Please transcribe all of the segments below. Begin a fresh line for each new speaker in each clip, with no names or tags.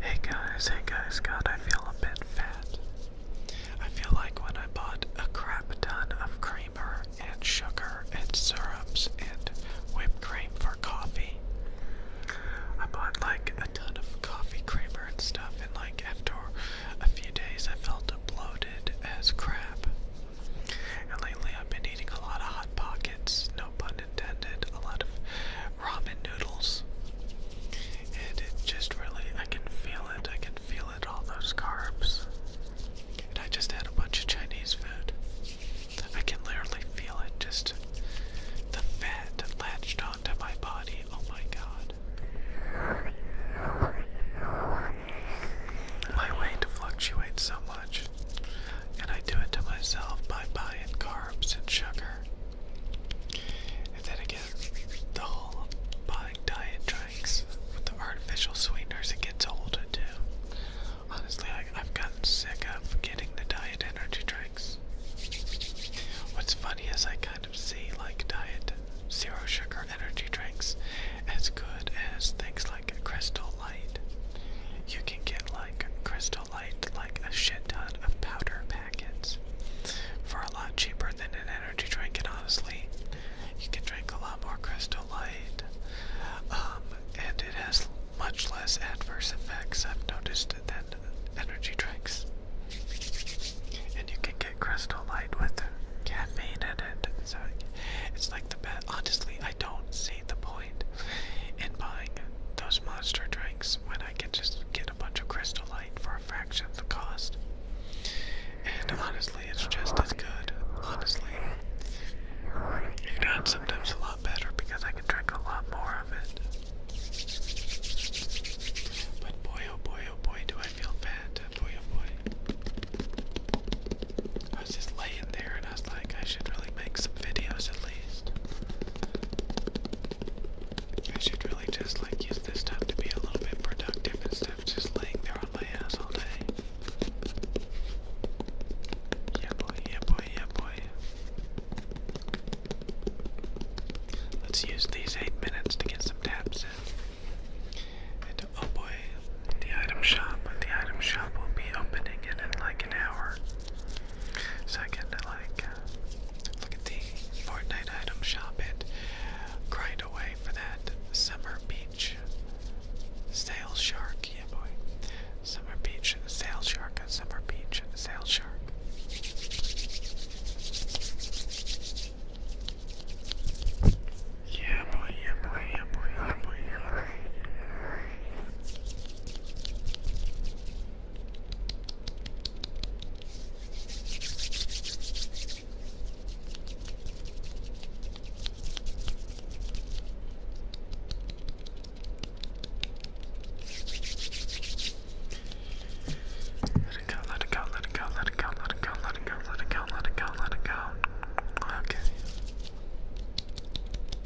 Hey guys, hey guys, God, I feel a bit fat. I feel like when I bought a crap ton of creamer and sugar and syrups and whipped cream for coffee. I bought like a ton of coffee creamer and stuff, and like after a few days, I felt bloated as crap. And lately, I've been eating a lot of Hot Pockets, pun intended, a lot of ramen noodles. And it just really, I can feel it, I can feel it, all those carbs. And I just had a bunch of Chinese food. I can literally feel it, just the fat latched onto my body. Oh my god. My weight fluctuates so much and I do it to myself by buying carbs and sugar. And then again, the whole buying diet drinks with the artificial sweeteners, it gets old too. Honestly, I, have gotten sick of getting the diet energy drinks. What's funny is I kind of see like diet zero sugar energy drinks as good as things like Crystal Light. You can get like Crystal light like a shit ton of powder packets. For a lot cheaper than an energy drink, and honestly, you can drink a lot more Crystal Light. Um, and it has much less adverse effects, I've noticed, than energy drinks. And you can get Crystal Light with caffeine in it. So it's like the best. Honestly, I don't see the point point in buying those monster drinks when I can just get a bunch of Crystal Light for a fraction of the cost? And honestly, it's just as good. Honestly, if not, sometimes a lot better because I can drink a lot more of it. But boy, oh boy, oh boy, do I feel bad. Boy, oh boy. I was just laying there and I was like, I should really make some videos at least. I should really just like use this time to be a little bit productive instead of just laying there on my ass all day. Yeah boy, yeah boy, yeah boy. Let's use these eight minutes to get some tabs in. oh boy, the item shop. The item shop will be opening it in like an hour. Second, I like uh, look at the Fortnite item shop it. Grind away for that summer beach sale shark, yeah boy. Summer beach sale shark, summer beach sale shark. yeah boy, yeah boy, yeah boy, yeah boy. Let it go, let it go, let it go, let it go, let it go, let it go, let it go, let it go, let it go. Okay.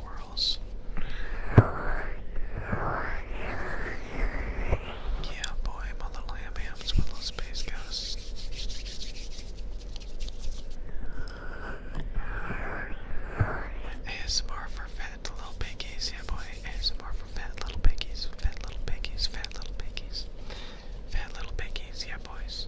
yeah, boy, my little ham my little space ghosts. ASMR for fat little piggies, yeah, boy. ASMR for fat little piggies, fat little piggies, fat little piggies, fat little piggies, yeah, boys.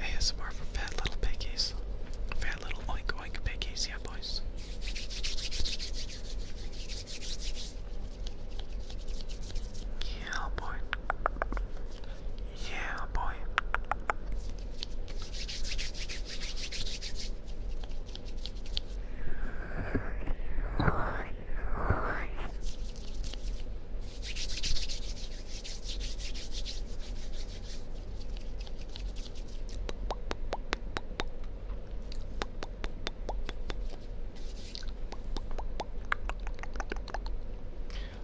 ASMR for fat little piggies. Fat little oink oink piggies, yeah, boys. Yeah, boy. Yeah, boy.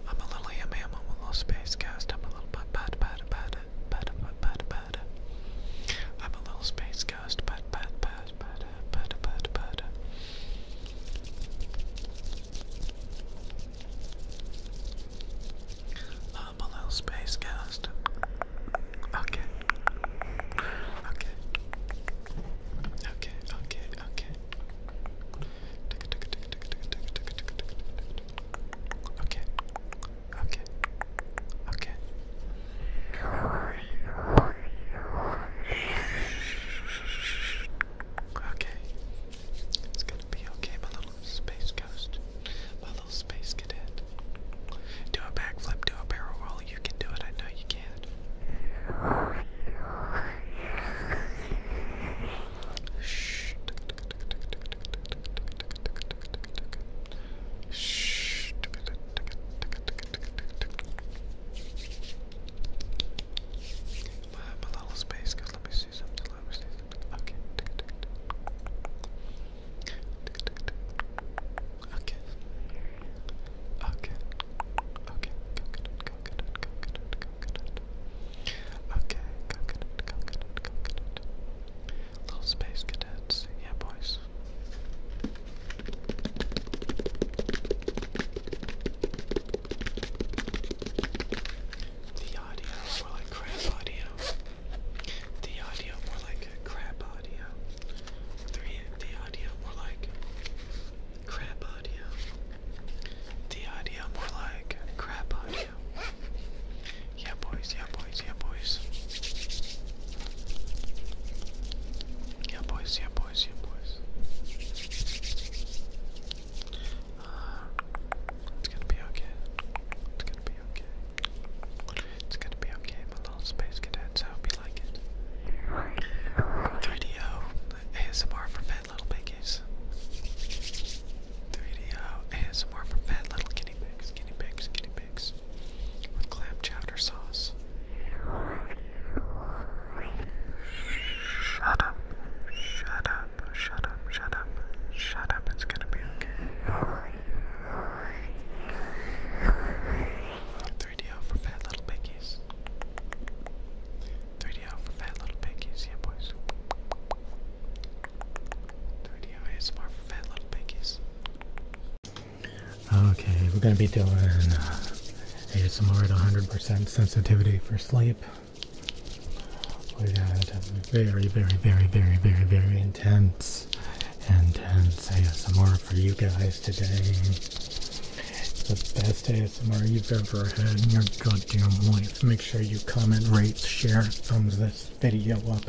I'm a little yummy, a little space ghost, I'm a little bad bad bad bad bad bad bad bad. I'm a little space ghost podcast. Pat, pat, pat, pat, um, Okay. Okay. Okay, okay, okay. Okay. Okay. Okay. Okay. It's gonna be okay, my little space ghost. My little space cadet. Do a backflip, do a barrel roll. You can do it, I know you can. Shh. Shh. But little space because let me see something. Let me see something. Okay. Okay. Okay. Okay. Coconut, coconut, coconut, coconut. Okay, coconut, Little space cadets. Yeah, boys. The audio more like crap audio. The audio more like crap audio. The, the audio more like crap audio. The audio more like crap audio. Yeah boys, yeah boys, yeah boys. Yeah boys, yeah boys boys, boys. Uh, it's gonna be okay. It's gonna be okay. It's gonna be okay, my little space cadets. I hope you like it. 3DO ASMR for fat little piggies. 3DO ASMR for fat little guinea pigs, guinea pigs, guinea pigs. With clam chowder sauce. Shut up, shut up, shut up, shut up, shut up, it's gonna be okay. 3DO for fat little piggies.
3DO for fat little piggies, yeah boys. 3DO ASMR for fat little piggies. Okay, we're gonna be doing uh, ASMR at 100% sensitivity for sleep. We had very, very, very, very, very, very intense, intense ASMR for you guys today. The best ASMR you've ever had in your goddamn life. Make sure you comment, rate, share, thumbs this video up.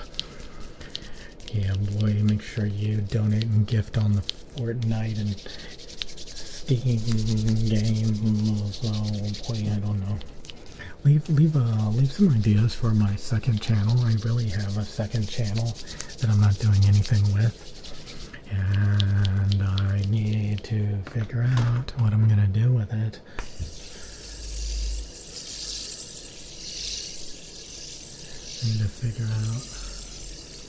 Yeah, boy, make sure you donate and gift on the Fortnite and Steam games. boy, I don't know. Leave leave uh leave some ideas for my second channel. I really have a second channel that I'm not doing anything with. And I need to figure out what I'm gonna do with it. need to figure out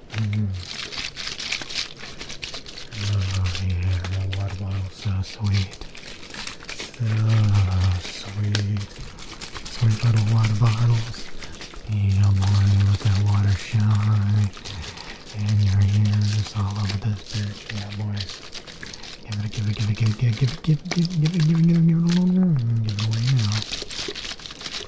Oh yeah, the water bottle so sweet. So sweet. Sweet little water bottles. Yeah, boy, let that water shine. And your ears all over this bitch. Yeah, boy. Give it, give it, give it, give it, give it, give it, give it, give it, give it, give it, give it, give it, give it away now.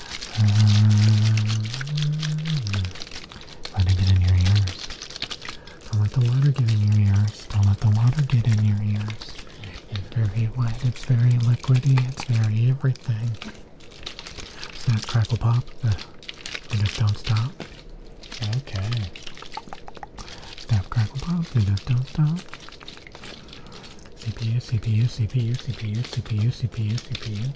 let it get in your ears. Don't let the water get in your ears. Don't let the water get in your ears. It's very wet, it's very liquidy, it's very everything. Snap, crackle, pop. You just don't stop. Okay. Snap, crackle, pop. You just don't stop. CPU, CPU, CPU, CPU, CPU, CPU, CPU.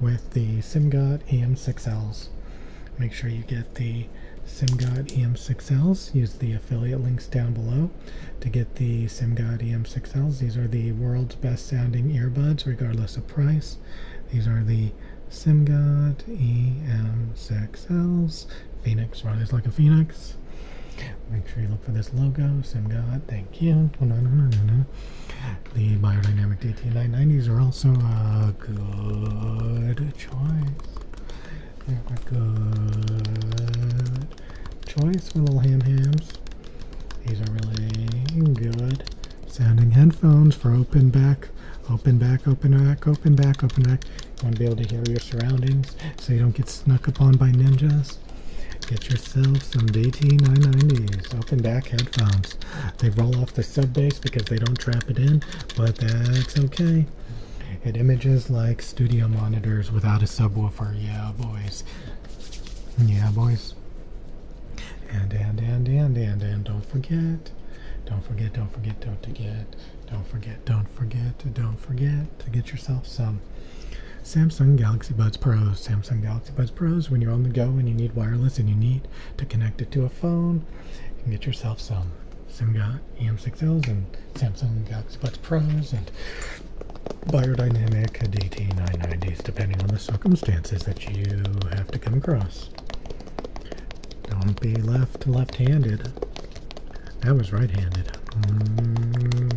with the SimGod EM6Ls. Make sure you get the SimGod EM6Ls. Use the affiliate links down below to get the SimGod EM6Ls. These are the world's best sounding earbuds, regardless of price. These are the SimGod EM6Ls. Phoenix, rise like a phoenix. Make sure you look for this logo, SimGod. Thank you. The Biodynamic DT990s are also a good choice. a good choice for little ham hams. These are really good sounding headphones for open back, open back, open back, open back, open back. You want to be able to hear your surroundings so you don't get snuck upon by ninjas. Get yourself some DT990s open back headphones. They roll off the sub bass because they don't trap it in, but that's okay. It images like studio monitors without a subwoofer. Yeah, boys. Yeah, boys. And, and, and, and, and, and don't forget. Don't forget, don't forget, don't forget. Don't forget, don't forget, don't forget to get yourself some Samsung Galaxy Buds Pro, Samsung Galaxy Octopus Pros when you're on the go and you need wireless and you need to connect it to a phone. get yourself some Simga, EM6Ls and Samsung Galaxy Buds Pros and Biodynamic DT990s, depending on the circumstances that you have to come across. Don't be left left-handed. I was right-handed. Mm-hmm.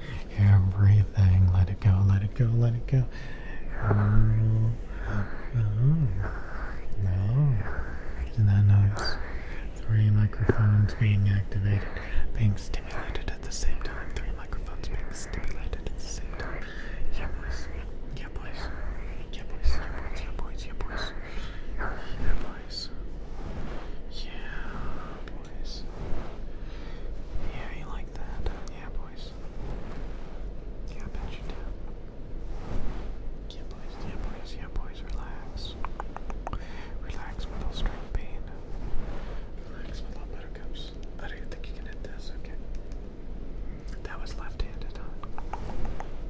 everything. Let it go, let it go, let it go. Isn't that nice? Three microphones being activated, being stimulated at the same time. Three microphones being stimulated at the same time. Yeah, boys.
Yeah, boys. Yeah, boys. Yeah, boys. Yeah, boys. Yeah, boys. Yeah, you like yeah, boys. Yeah, I bet you do. Yeah, boys. Yeah, boys. Yeah, boys. Relax. Relax with all string pain. Relax with all buttercups. I don't think you can hit this. Okay. That was left-handed,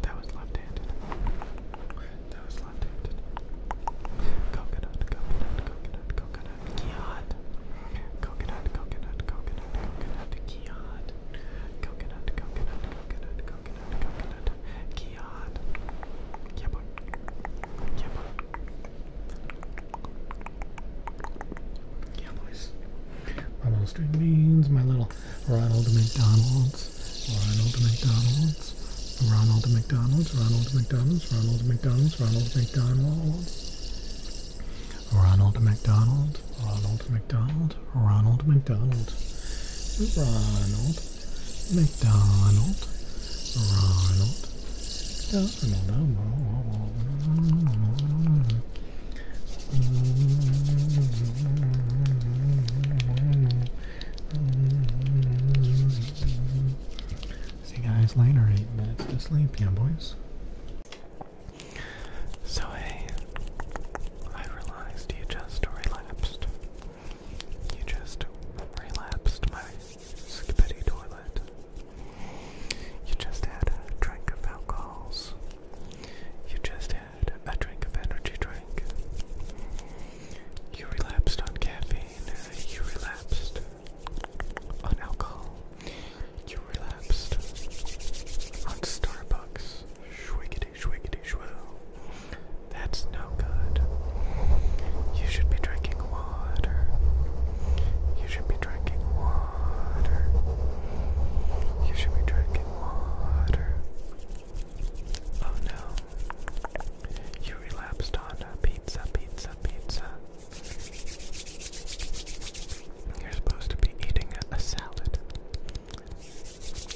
That was left-handed. That was left-handed. Coconut, coconut, coconut, coconut. Yacht. Coconut, coconut, coconut,
coconut, kiad. Coconut, coconut, coconut, coconut, coconut, kiad. Yeah, boy. Yeah, boy. Yeah, boys. My little string beans, my little Ronald McDonald's. Ronald McDonald's. Ronald McDonald's. Ronald McDonald's. Ronald McDonald's. Ronald McDonald's. Ronald McDonald's. Ronald McDonald, Ronald McDonald, Ronald McDonald, Ronald McDonald, Ronald McDonald. See guys, guys later. Eight minutes to sleep, yeah, boys. So hey, I realized you just relapsed. You just relapsed my skippity toilet. You just
had a drink of alcohols. You just had a drink of energy drink. You relapsed on caffeine you relapsed on alcohol. You relapsed on Starbucks. Shwiggity, shwiggity, shwoo. That's no good. You should be drinking water. You should be drinking water. You should be drinking water. Oh no. You relapsed on a pizza, pizza, pizza. You're supposed to be eating a, salad.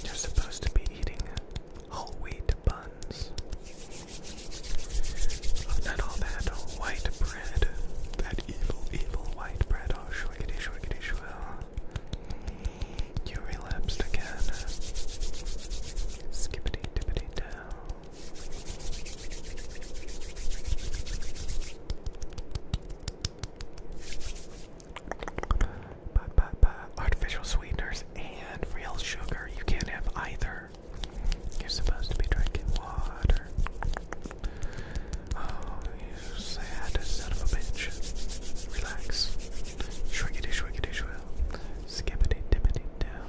You're supposed to be eating whole wheat buns. Not all that white bread. That evil, evil white bread. Oh, shwiggity, shwiggity, shwill. You relapsed again. Skippity, dippity, but, but, but artificial sweeteners and real sugar, you can't have either. You're supposed to be drinking water. Oh, you sad son of a bitch. Relax. Shrinkity, shrinkity, shrill. Skippity, dippity, down.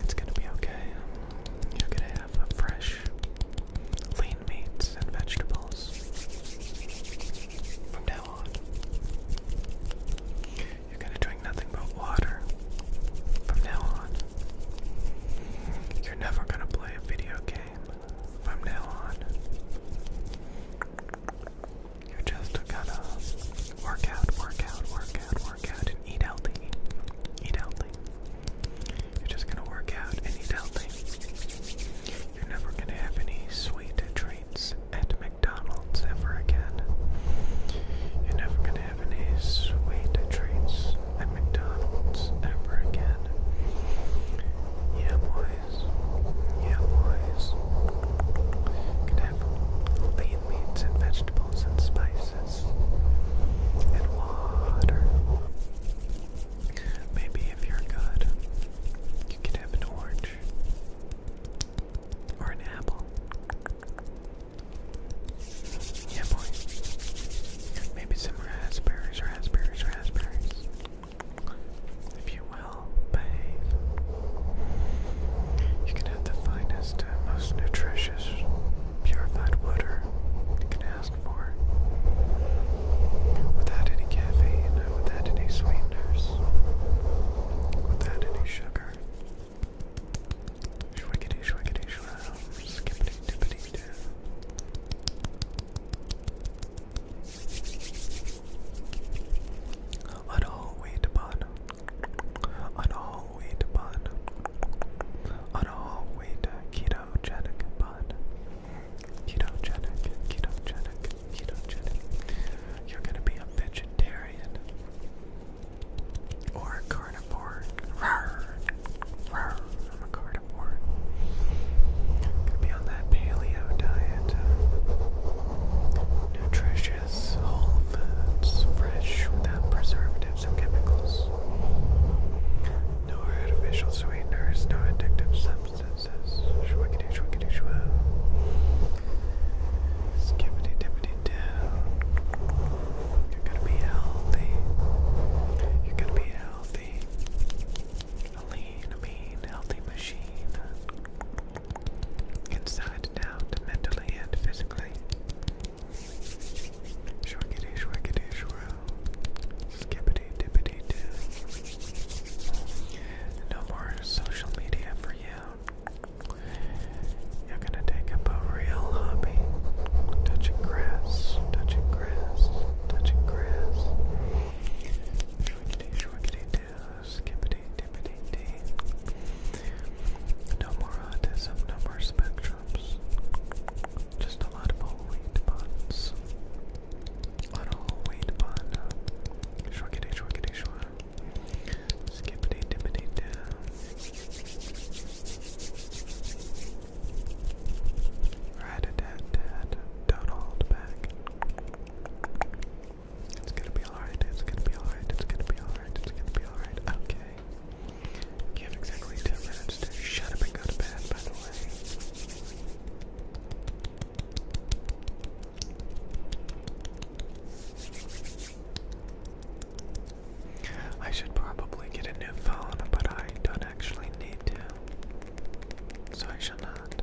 It's gonna be okay. You're gonna have fresh, lean meats and vegetables from now on. You're gonna drink nothing but water from now on. You're never gonna play a video game from now on. You just gotta work out, work out, work out, work out, and eat healthy. Eat healthy. You're just gonna work out and eat healthy. You're never gonna have any sweet treats at McDonald's ever again. You're never gonna have any sweet treats at McDonald's ever again. Yeah, boys. Yeah, boys can have lean meats and vegetables and spices and water. Maybe if you're good, you can have an orange or an apple. Yeah, boy. Maybe some raspberries, raspberries, raspberries. If you well You can have the finest and most nutritious purified water you can ask for without any caffeine, without any sweeteners,
without any sugar. Shwiggity, shwiggity, shroom, skippity, dippity, doo. What a whole wheat on a whole wheat bun, on a whole wheat ketogenic
bun, ketogenic, ketogenic, ketogenic. You're gonna be a vegetarian or a carnivore. I'm a carnivore. Gonna be on that paleo diet, nutrition purchase whole foods fresh without preservatives and chemicals. No artificial sweeteners, no addictive substances. Shwickety shwickety shwa. Skippity dippity doo. You're gonna be healthy. You're gonna be healthy. A lean, mean, healthy machine inside out, mentally and physically. Shorkity, shorkity, shroom. Skippity, No more social media for you. You're gonna take up a real hobby. Touching grass, touching grass, touching grass. Shorkity, shorkity, skippity dippity dee. No more autism, no more spectrums. Just a lot of whole wheat buns. A lot of whole wheat bun. Shruggity, shruggity, shrug. Skippity dippity doo. Right a tat tat. Don't hold back. It's gonna be alright, it's gonna be alright, it's gonna be alright, it's gonna be alright. Okay. You have exactly 10 minutes to shut up and go to bed, by the way. I should probably get a new phone, but I don't actually need to. So I shall not.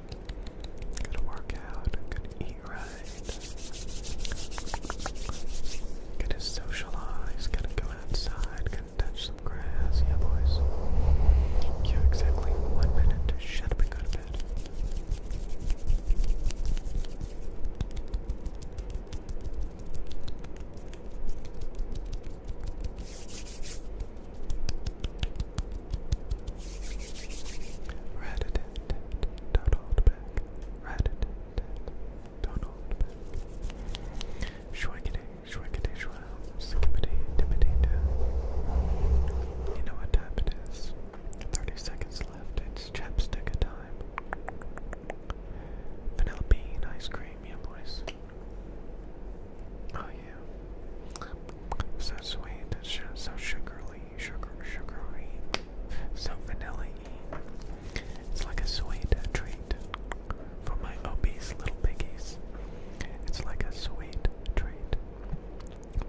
Gotta work out, gotta eat right. Gotta socialize, gotta go outside, gotta touch some grass. Yeah, boys. You have exactly one minute to shut up and go to bed. Rat don't hold back. Rat don't hold back. Shwackity, shwackity, shwell, skippity, dippity, You know what time it is. 30 seconds left, it's chapstick a time. Vanilla bean ice cream, yeah, boys. Oh, yeah. So sweet, so sugary sugar, sugary, so vanilla -y. It's like a sweet treat for my obese little piggies. It's like a sweet treat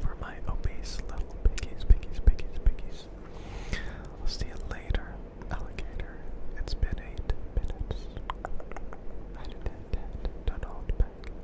for my obese little piggies, piggies, piggies, piggies. I'll see you later, alligator. It's been eight minutes. I did that. Don't hold back.